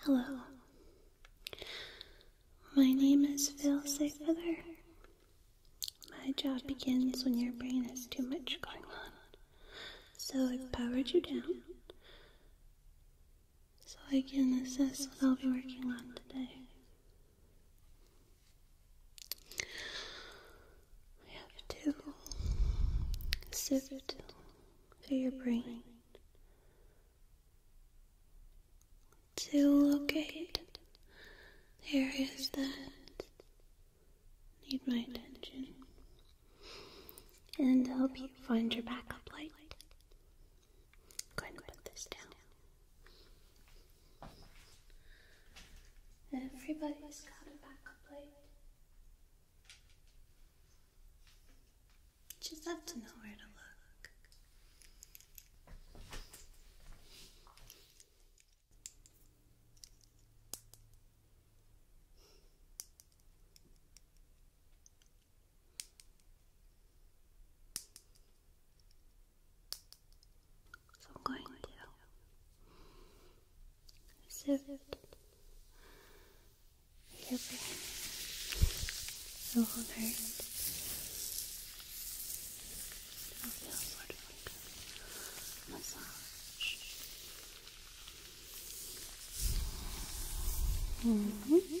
Hello. My name is Phil Feather. My job begins when your brain has too much going on. So I've powered you down so I can assess what I'll be working on today. We have to sift to your brain to locate areas that need my attention and help you find your backup light. I'm going put this down. Everybody's got a backup light. Just have to know where to look. So I'm going to served your so wholehearted. It feel sort of like massage. -hmm.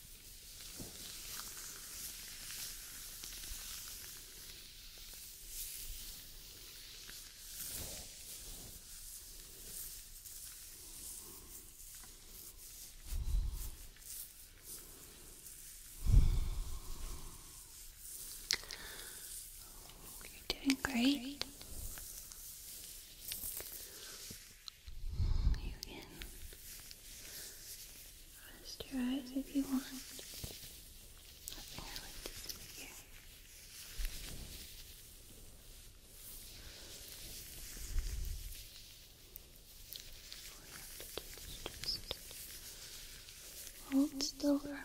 You're doing great. You can Rest your eyes if you want. Nothing I like here. All you just hold still for a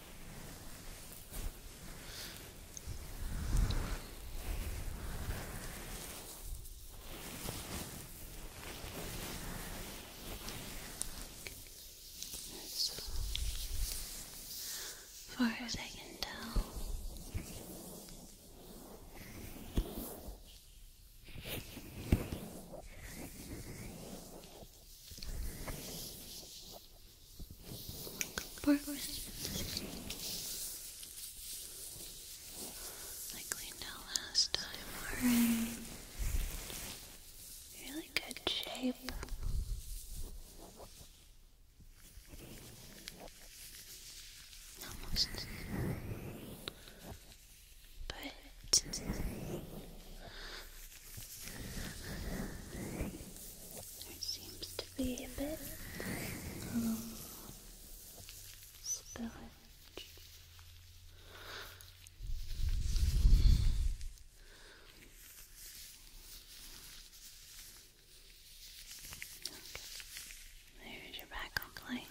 As far as I can tell, I cleaned out last time. Alright. Really good shape. Almost. But there seems to be a bit of spillage. Okay. There's your backup light.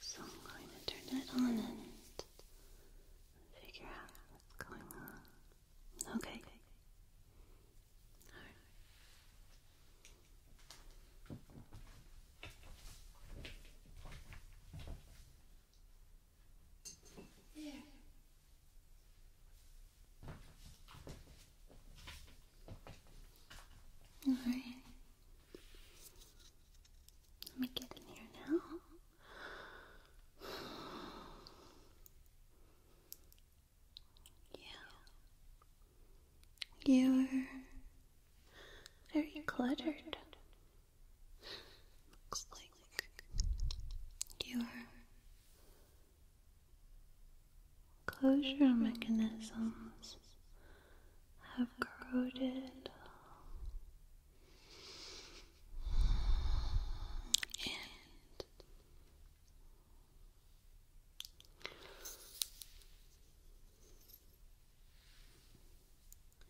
So I'm going to turn it on and figure out what's going on. Okay. All right. Yeah. All right. Let me get in here now. You're very cluttered. Looks like your closure mechanisms have corroded and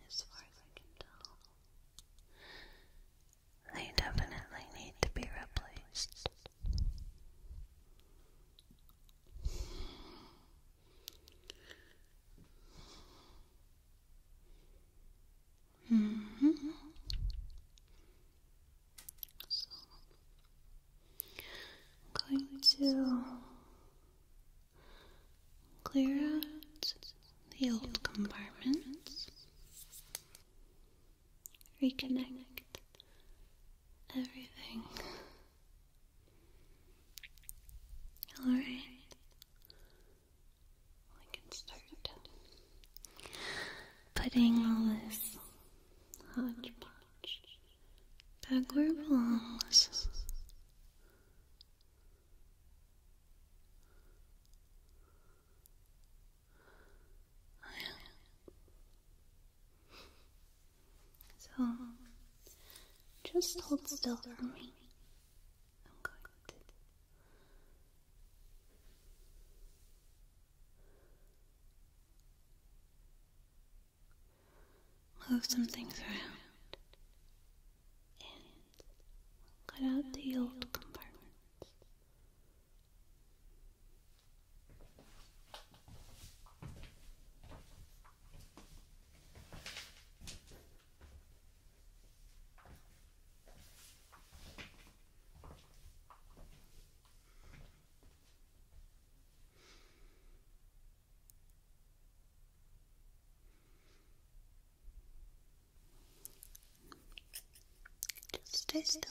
as far as I can tell, they definitely need to be replaced. Mm-hmm. I'm going to clear out the old compartments, reconnect everything. Alright, I can start putting all this hodgepodge back where it belongs. So, just hold still for me move something through and cut out the old compartments. Just stay still.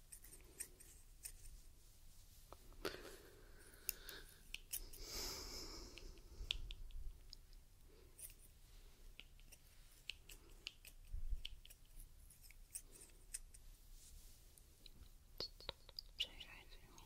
Przejrzajcie mi.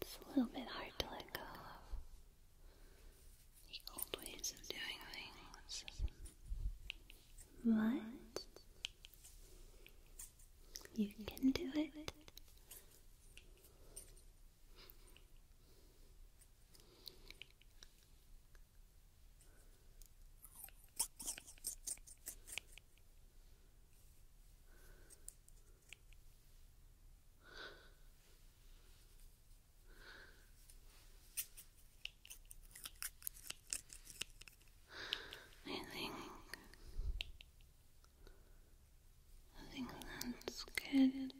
It's a little bit hard to let go of old ways of doing things. But you can do it. I think I think that's good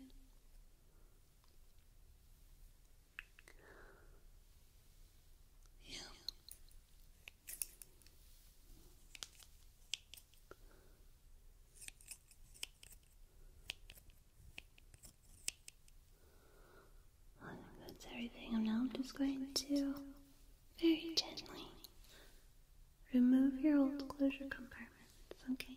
you I that's everything. And now I'm just going to very gently remove your old closure compartments, okay?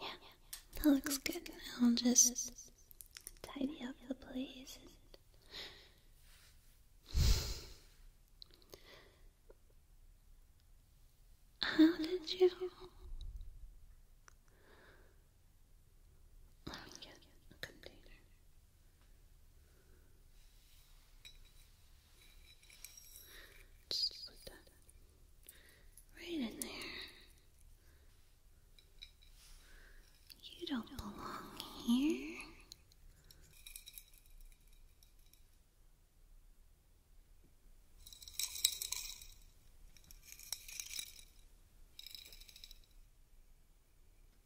Yeah, that looks good. I'll just tidy up the place. How did you? Let me get a container. Just like that. Right in there. You don't belong here.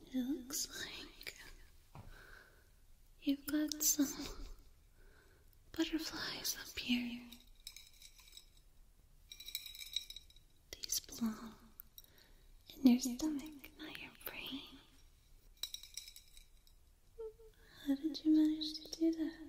It looks like you've got some butterflies up here. These belong in your stomach, not your brain. How did you manage to do that?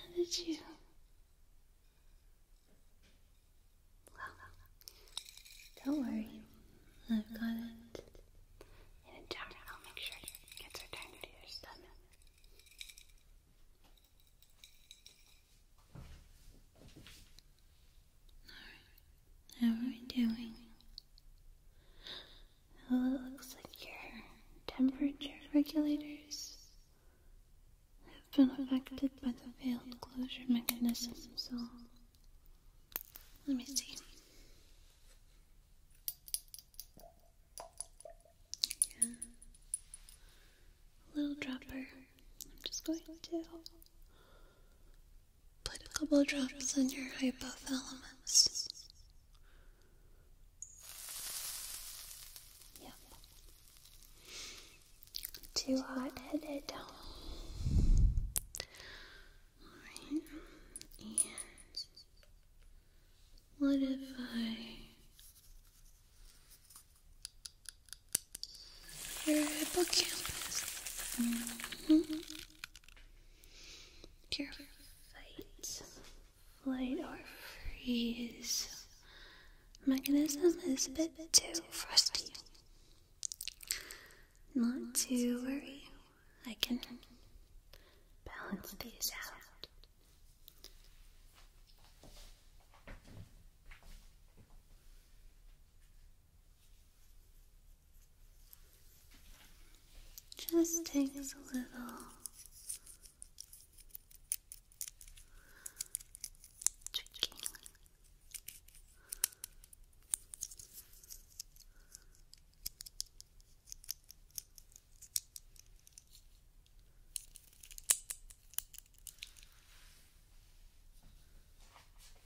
How did you? Don't worry, I've got it. In a jar, I'll make sure it gets returned to your stomach. Alright. How are we doing? Oh, it looks like your temperature regulators have been affected by the failed closure mechanism, so let me see. Yeah. Little dropper. I'm just going to Put a couple drops in your hypothalamus. Yep. Too hot headed. Alright. And what if I your your fight, flight, or freeze mechanism is a bit too frosty. Not to worry, I can balance these out. Just takes a little tweaking.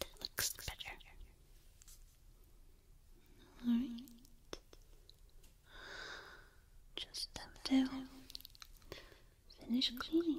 that looks better. Just have to finish cleaning.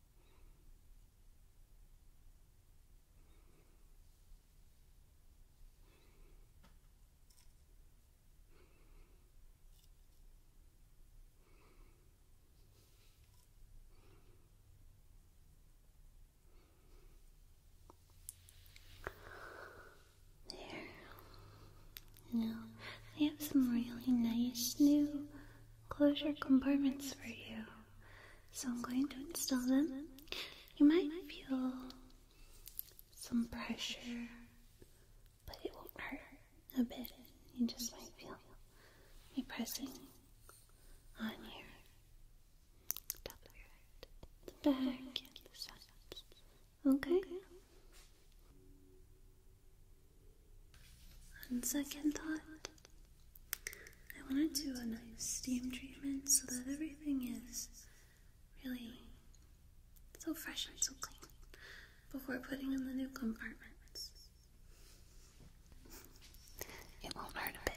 There. Now, I have some really nice new closure compartments for you. So I'm going to install them. You might feel some pressure, but it won't hurt a bit. You just might feel me pressing on here. the back, the sides. Okay? On second thought, I want to do a nice steam treatment so that everything is really so fresh and so clean before putting in the new compartments. It won't hurt a bit.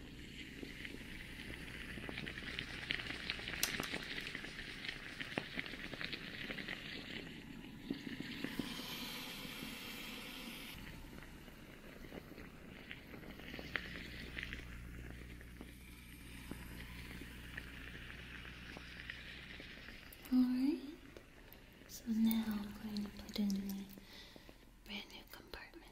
Alright, so now I'm going to put in my brand new compartment.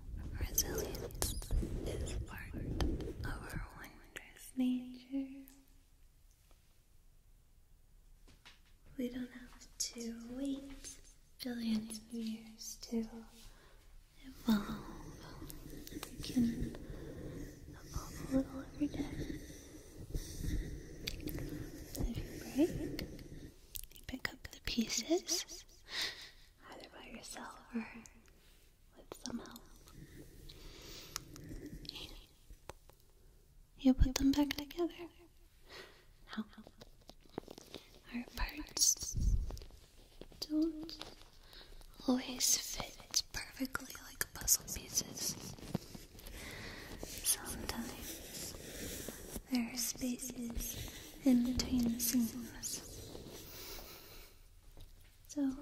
Resilience is part of our wondrous nature. We don't have to wait billions of years to evolve. We can evolve a little every day. If you break, pick up the pieces, either by yourself or with some help. You put them back together. our parts don't always fit It's perfectly like puzzle pieces. Sometimes there are spaces in between the seams. So, like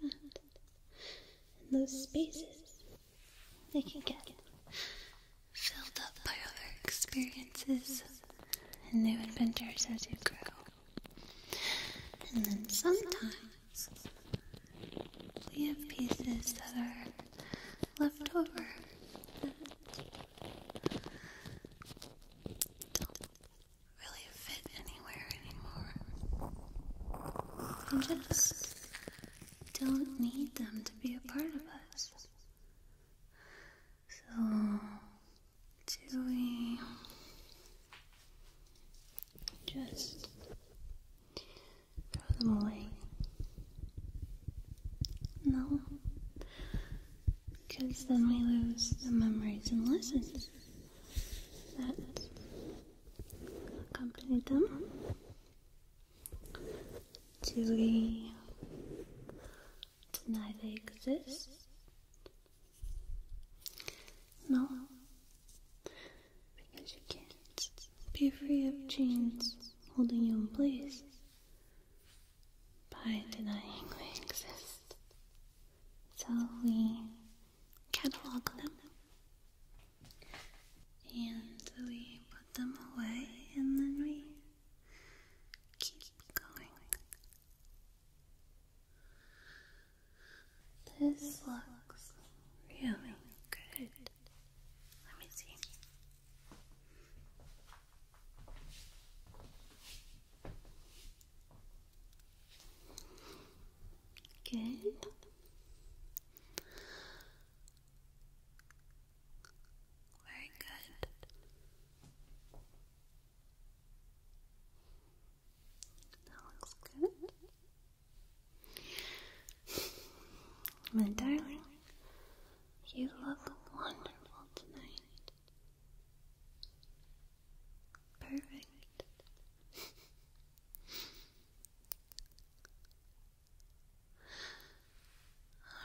that. those spaces, they can get filled up by other experiences and new adventures as you grow. And then sometimes we have pieces that are left over don't really fit anywhere anymore. We just don't need them to be a part of us. So, do we just throw them away? No. Because then we lose the memories and lessons that accompany them do we deny they exist? No, because you can't be free of chains holding you in place by denying they exist. So we catalog them and we put them away and then we keep going. This looks really good. Let me see. Good. Very good. That looks good. My darling, you look wonderful tonight. Perfect.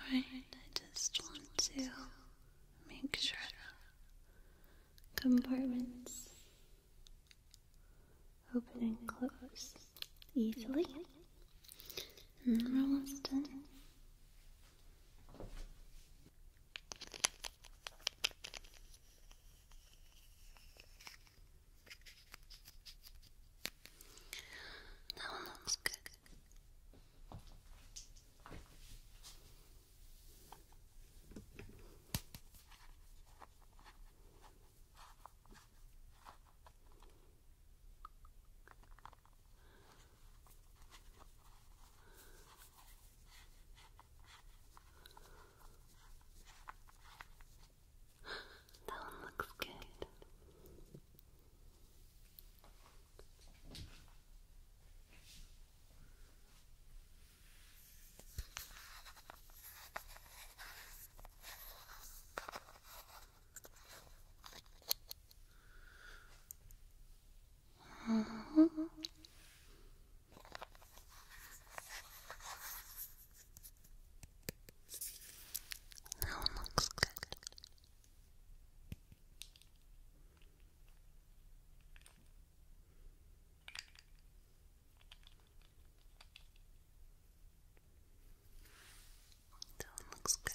Alright, I just want to make sure compartments open and close easily. almost done. That one looks good. That one looks good. Uh -huh. That one looks good. That one looks good.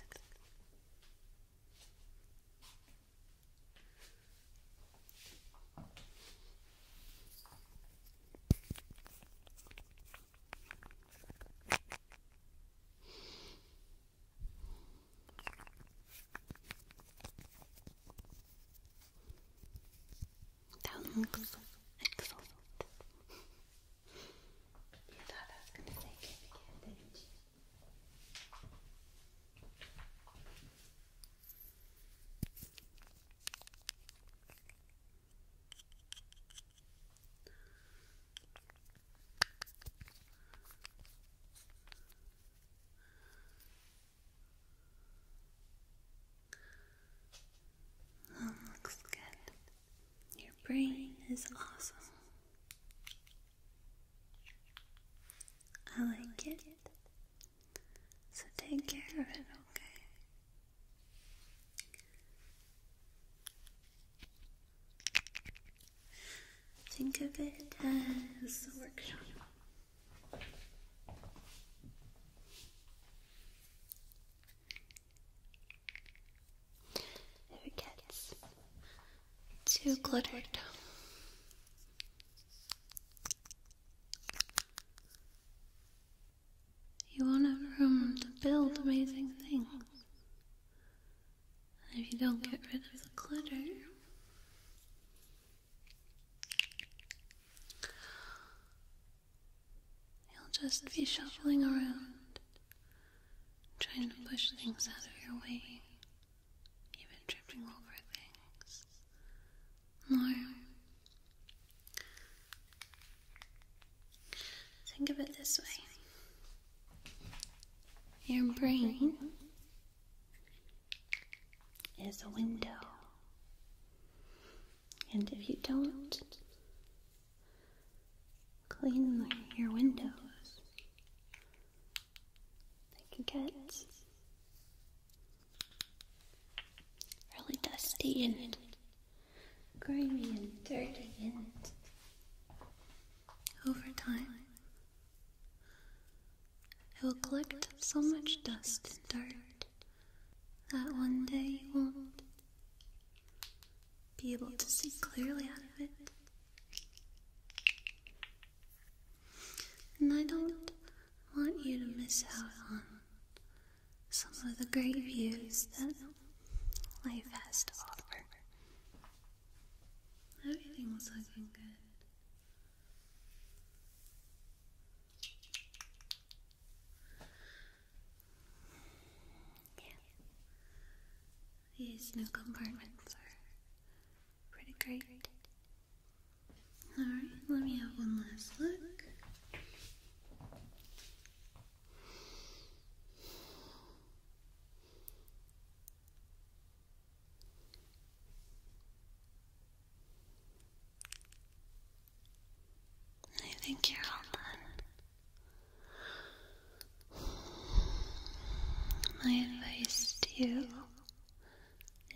That one looks excellent. You thought I was gonna say give didn't you? Oh, looks good. Your brain is awesome. I like it. So take care of it, okay? Think of it as a workshop. If it gets too cluttered, you won't have room to build amazing things. And if you don't get rid of the clutter, You'll just be shuffling around trying to push things out of your way, even tripping over things. More. Think of it this way your brain is a window, and if you don't Clean your windows. They can get really dusty and grimy and dirty and over time it will collect so much dust and dirt that one day you won't be able to see clearly out of it. And I don't want you to miss out on some of the great views that life has to offer. Everything was looking good. Yeah. These new compartments are pretty great. Alright, let me have one last look. I think you're all done. My advice to you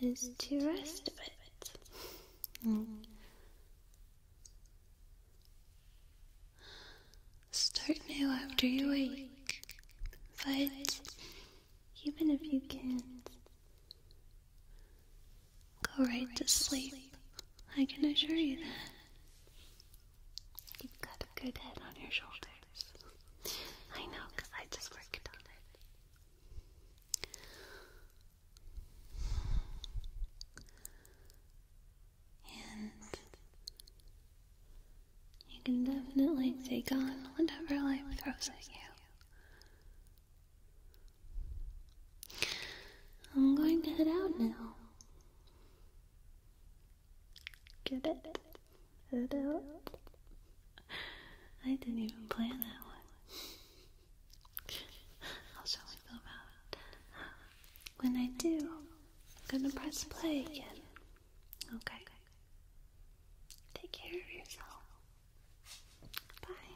is to rest a bit. Start new after you wake, but even if you can't, go right to sleep. I can assure you that. You've got a good head on your shoulders. I know, because I just worked on it. And you can definitely take on whatever life throws at you. I'm going to head out now. Get it? I didn't even plan that one. I'll show you about When I do, I'm gonna press play again. Okay. Take care of yourself. Bye.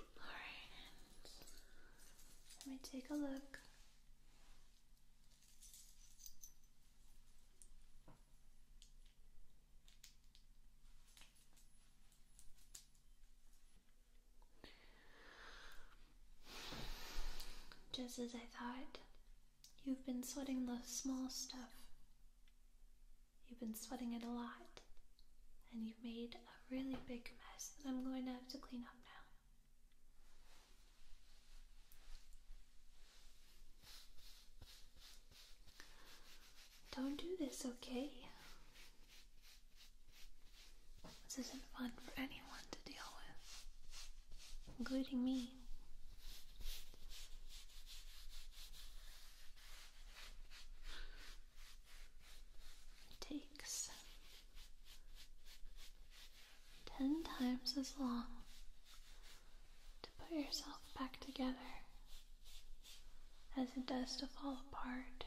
Alright, let me take a look. Just as I thought, you've been sweating the small stuff. You've been sweating it a lot, and you've made a really big mess that I'm going to have to clean up now. Don't do this, okay? This isn't fun for anyone to deal with, including me. It takes ten times as long to put yourself back together as it does to fall apart.